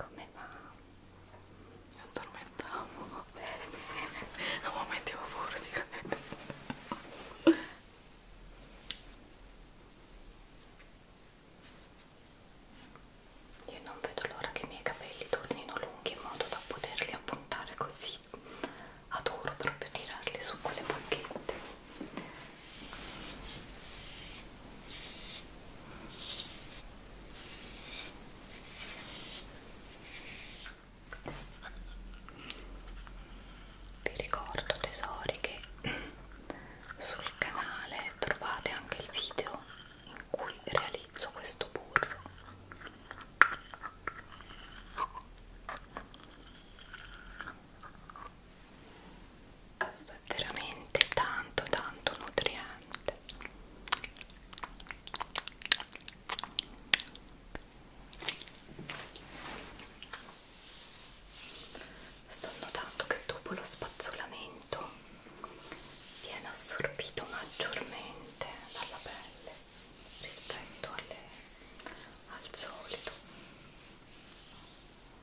Come va? Mi addormentavo. A momenti avevo paura di cadere. Io non vedo l'ora che i miei capelli tornino lunghi in modo da poterli appuntare così. Adoro proprio tirarli su quelle bacchette. Vi ricordo tesori che sul canale trovate anche il video in cui realizzo questo burro questo è veramente tanto tanto nutriente sto notando che dopo lo spazzolamento viene assorbito maggiormente dalla pelle rispetto alle, al solito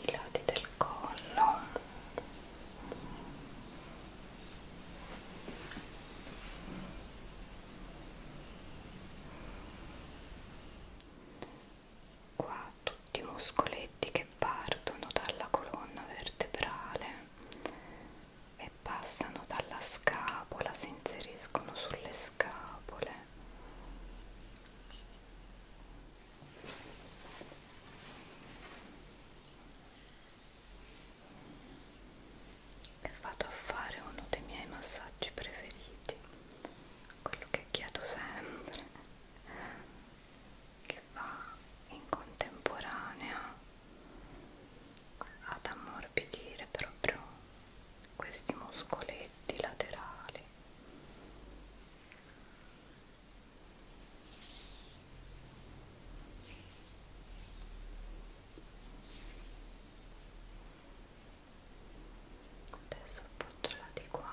i lati del collo qua tutti i muscoletti che partono dalla colonna vertebrale e passano dalla scapola si inseriscono sulle scapole e vado a fare uno dei miei massaggi preferiti quello che chiedo sempre che va in contemporanea ad ammorbidire proprio questi muscoletti laterali adesso appoggiala di qua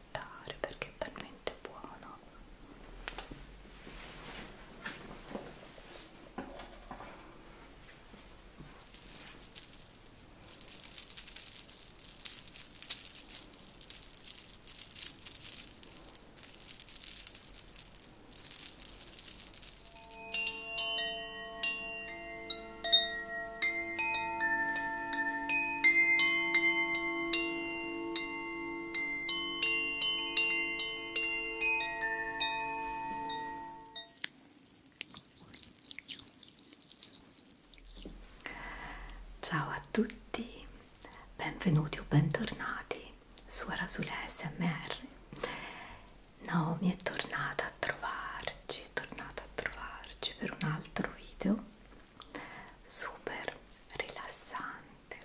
aspettare perché è talmente buono Ciao a tutti, benvenuti o bentornati su Arasule SMR. Naomi è tornata a trovarci, è tornata a trovarci per un altro video super rilassante niente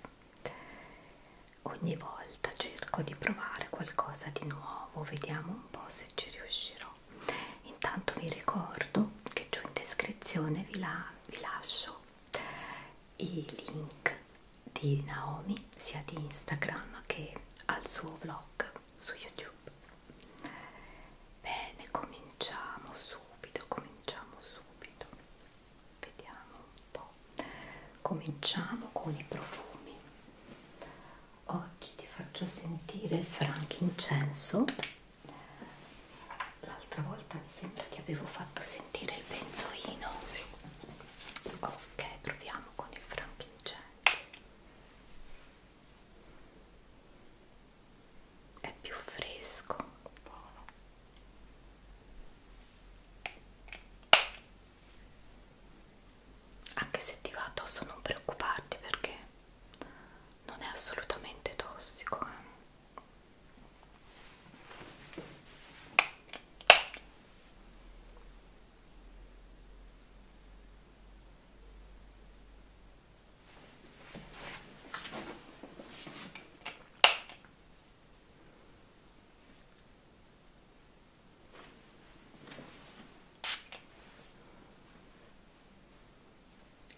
ogni volta cerco di provare qualcosa di nuovo vediamo un po' se ci riuscirò intanto vi ricordo che giù in descrizione vi, la, vi lascio i link di Naomi sia di Instagram che al suo vlog su YouTube bene cominciamo subito cominciamo subito vediamo un po' cominciamo con i profumi oggi ti faccio sentire il frankincenso l'altra volta mi sembra ti avevo fatto sentire il benzoino sì. ok proviamo con il frankincenso è più fresco buono anche se ti va addosso non preoccuparti perché non è assolutamente tossico eh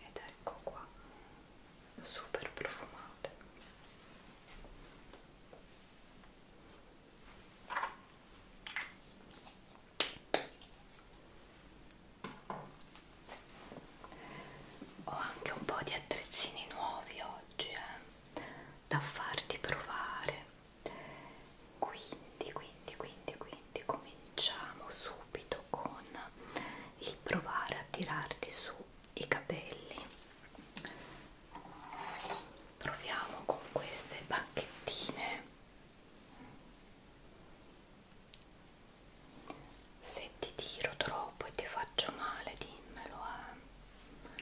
ed ecco qua super profumate ho anche un po' di attrezzini nuovi oggi eh, da farti provare quindi quindi quindi quindi cominciamo subito con il provare a tirarti su i capelli proviamo con queste bacchettine se ti tiro troppo e ti faccio male dimmelo eh.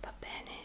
va bene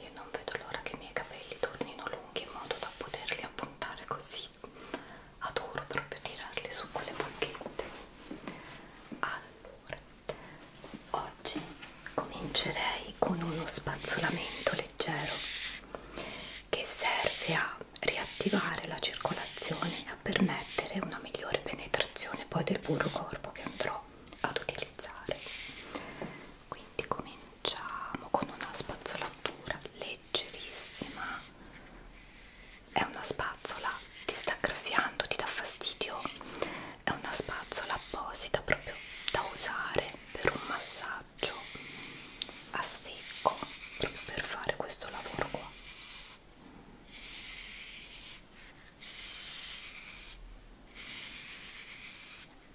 Io non vedo l'ora che i miei capelli tornino lunghi in modo da poterli appuntare così. Adoro proprio tirarli su quelle bacchette. Allora, oggi comincerei con uno spazzolamento leggero che serve a riattivare la circolazione e a permettere una migliore penetrazione poi del burro corpo che andrò ad utilizzare quindi quindi cominciamo con una spazzolatura leggerissima è una spazzola ti sta graffiando ti dà fastidio è una spazzola apposita proprio da usare per un massaggio a secco proprio per fare questo lavoro qua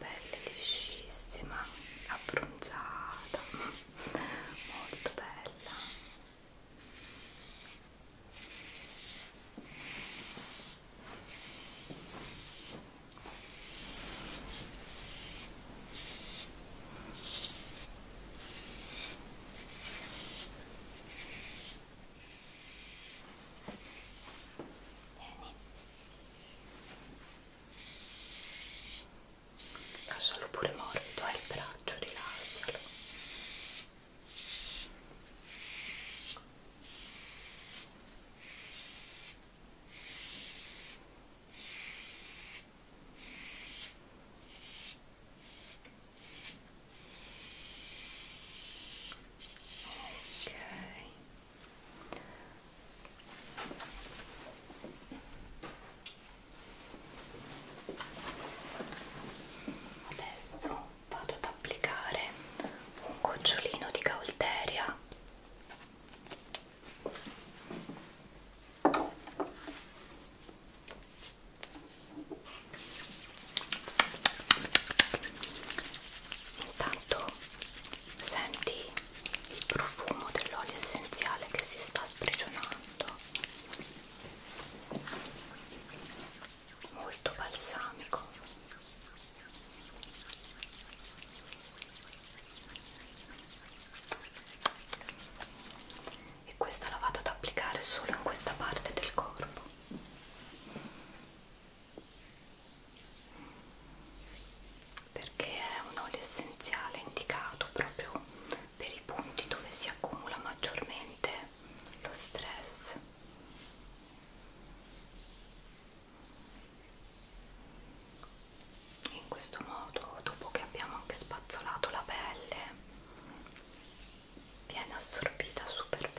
pelle liscissima abbronzata molto bella Vieni. Lascialo pure morbido, hai il braccio, rilassalo ok adesso vado ad applicare un gocciolino di caulteria intanto senti il profumo dell'olio essenziale che si sta sprigionando molto balsamico e questa la vado ad applicare solo in questa parte del corpo perché è un olio essenziale indicato proprio per i punti dove si accumula maggiormente lo stress in questo modo dopo che abbiamo anche spazzolato la pelle viene assorbita super bene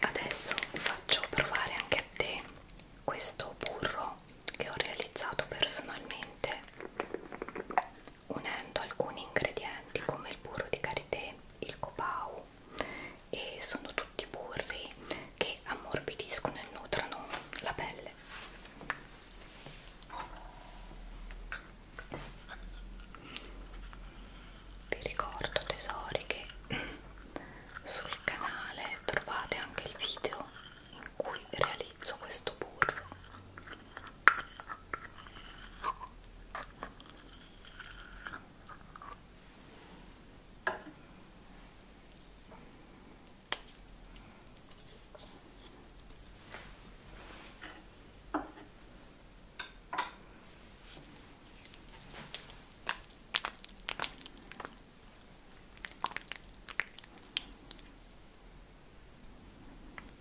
Adesso faccio provare anche a te questo burro che ho realizzato personalmente unendo alcuni ingredienti come il burro di karité, il copau e sono tutti burri che ammorbidiscono e nutrono la pelle bene vi ricordo tesori che sul canale trovate anche il video in cui realizzo questo burro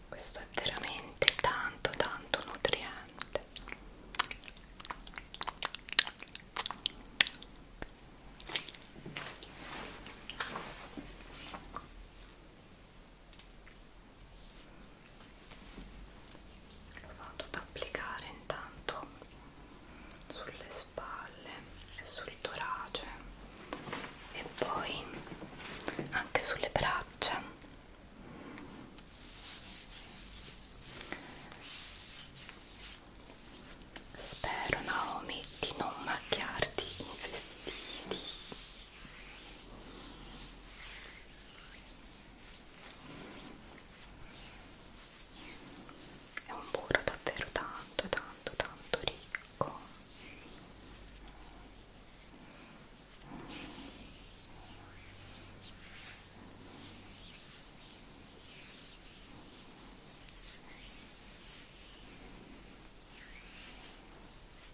questo è veramente tanto tanto nutriente lo vado ad applicare intanto sulle spalle e sul torace e poi anche sulle braccia spero Naomi di non macchiarti in vestiti è un burro davvero tanto tanto tanto ricco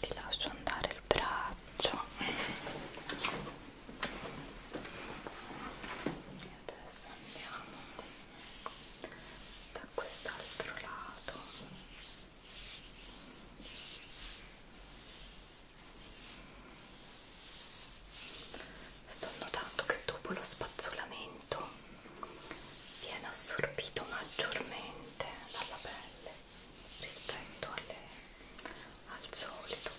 ti lascio andare il braccio e adesso andiamo da quest'altro lato Sto notando che dopo lo spazzolamento viene assorbito maggiormente dalla pelle rispetto alle, al solito. Ecco.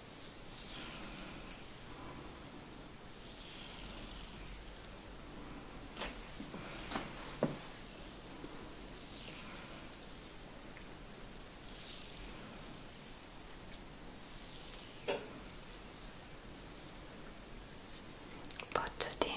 Poggiati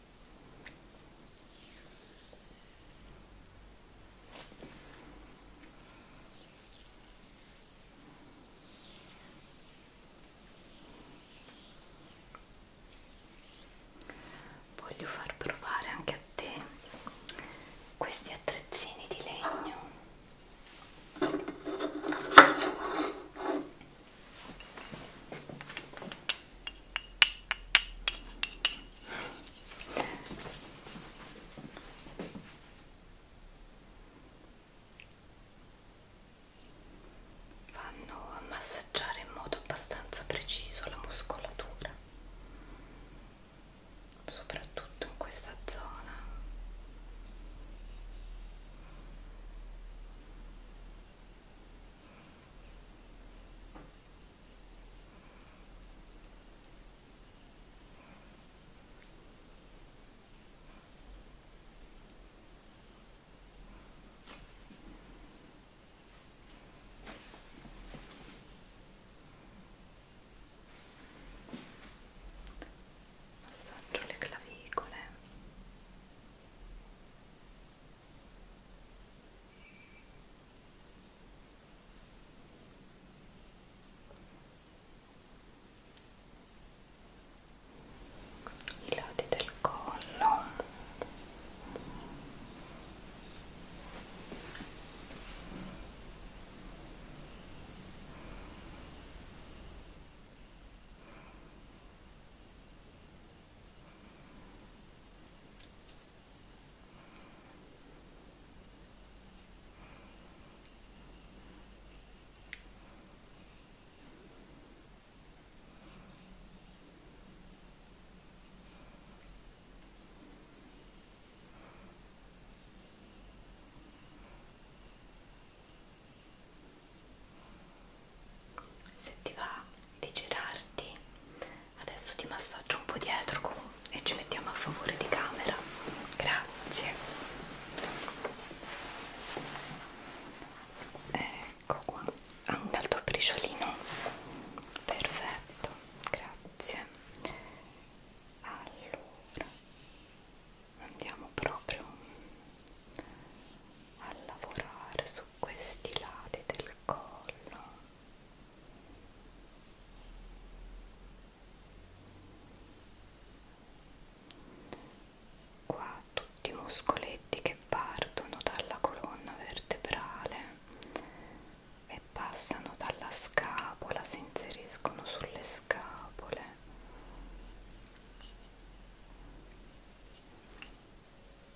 Voglio far provare anche a te questi attrezzini di legno vanno a massaggiare in modo abbastanza preciso la muscolatura soprattutto in questa zona Massaggio le clavicole. Ecco i lati del collo se ti va di girarti adesso ti massaggio un po' dietro con, e ci mettiamo a favore di camera grazie ecco qua ha un alto briciolino perfetto grazie allora andiamo proprio a lavorare su questi lati del collo qua tutti i muscoletti che partono dalla colonna vertebrale e passano dalla scapola si inseriscono sulle scapole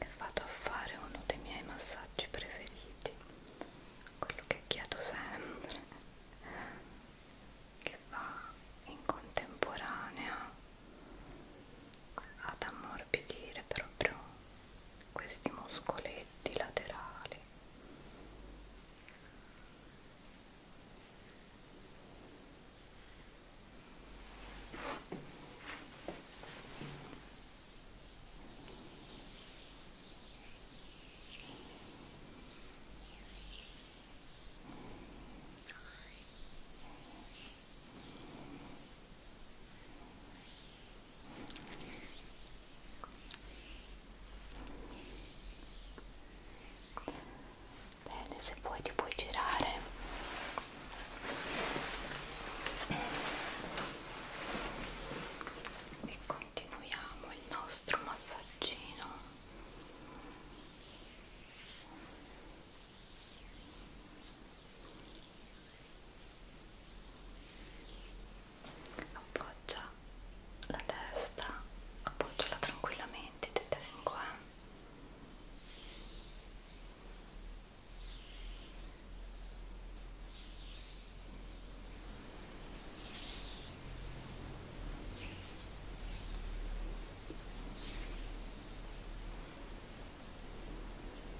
e vado a fare uno dei miei massaggi preferiti quello che chiedo sempre che va in contemporanea ad ammorbidire proprio questi muscoletti laterali Bene, se vuoi ti puoi girare. E continuiamo il nostro massaggino appoggia la testa, appoggiala tranquillamente, ti tengo eh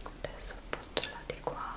adesso appoggiala di qua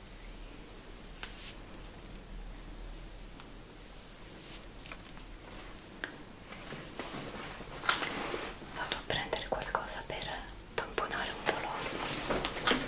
Vado a prendere qualcosa per tamponare un po' l'olio. Ecco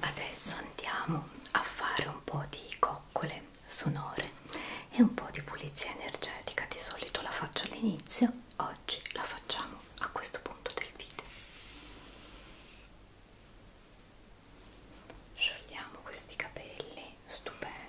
adesso andiamo a fare un po' di coccole sonore e un po' di pulizia energetica di solito la faccio all'inizio oggi la facciamo a questo punto del video sciogliamo questi capelli stupendi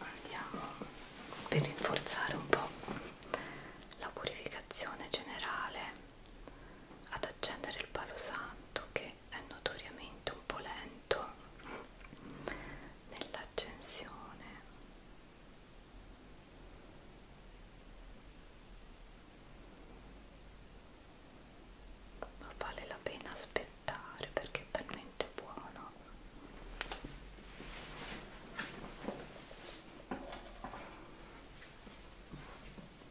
Andiamo per rinforzare un po' la purificazione generale ad accendere il palo santo che è notoriamente un po' lento nell'accensione ma vale la pena aspettare perché è talmente buono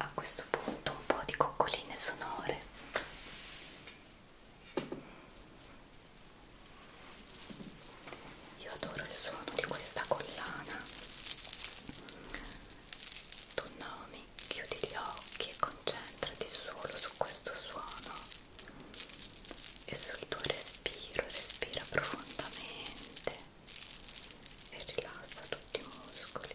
A questo punto un po' di coccoline sonore. Io adoro il suono di questa collana. Tu nomi, chiudi gli occhi e con concentrati solo su questo suono e sul tuo respiro, respira profondamente e rilassa tutti i muscoli.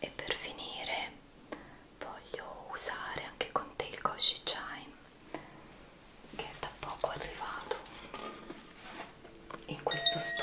E per finire voglio usare anche con te il Goshi Chime che è da poco arrivato in questo studio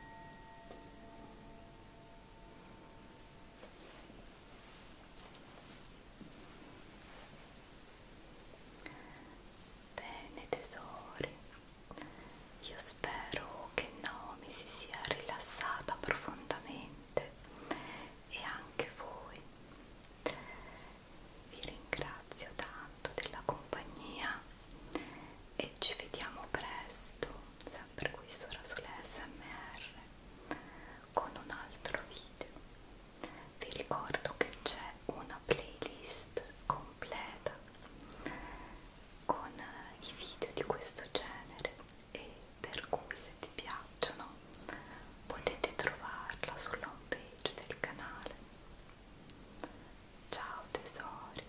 Bene tesori, io spero che Nomi si sia rilassata profondamente e anche voi. Vi ringrazio tanto della compagnia e ci vediamo presto sempre qui su Rasole SMR con un altro video vi ricordo che c'è una playlist completa con i video di questo genere e per cui se ti piacciono potete trovarla sulla home page del canale ciao tesori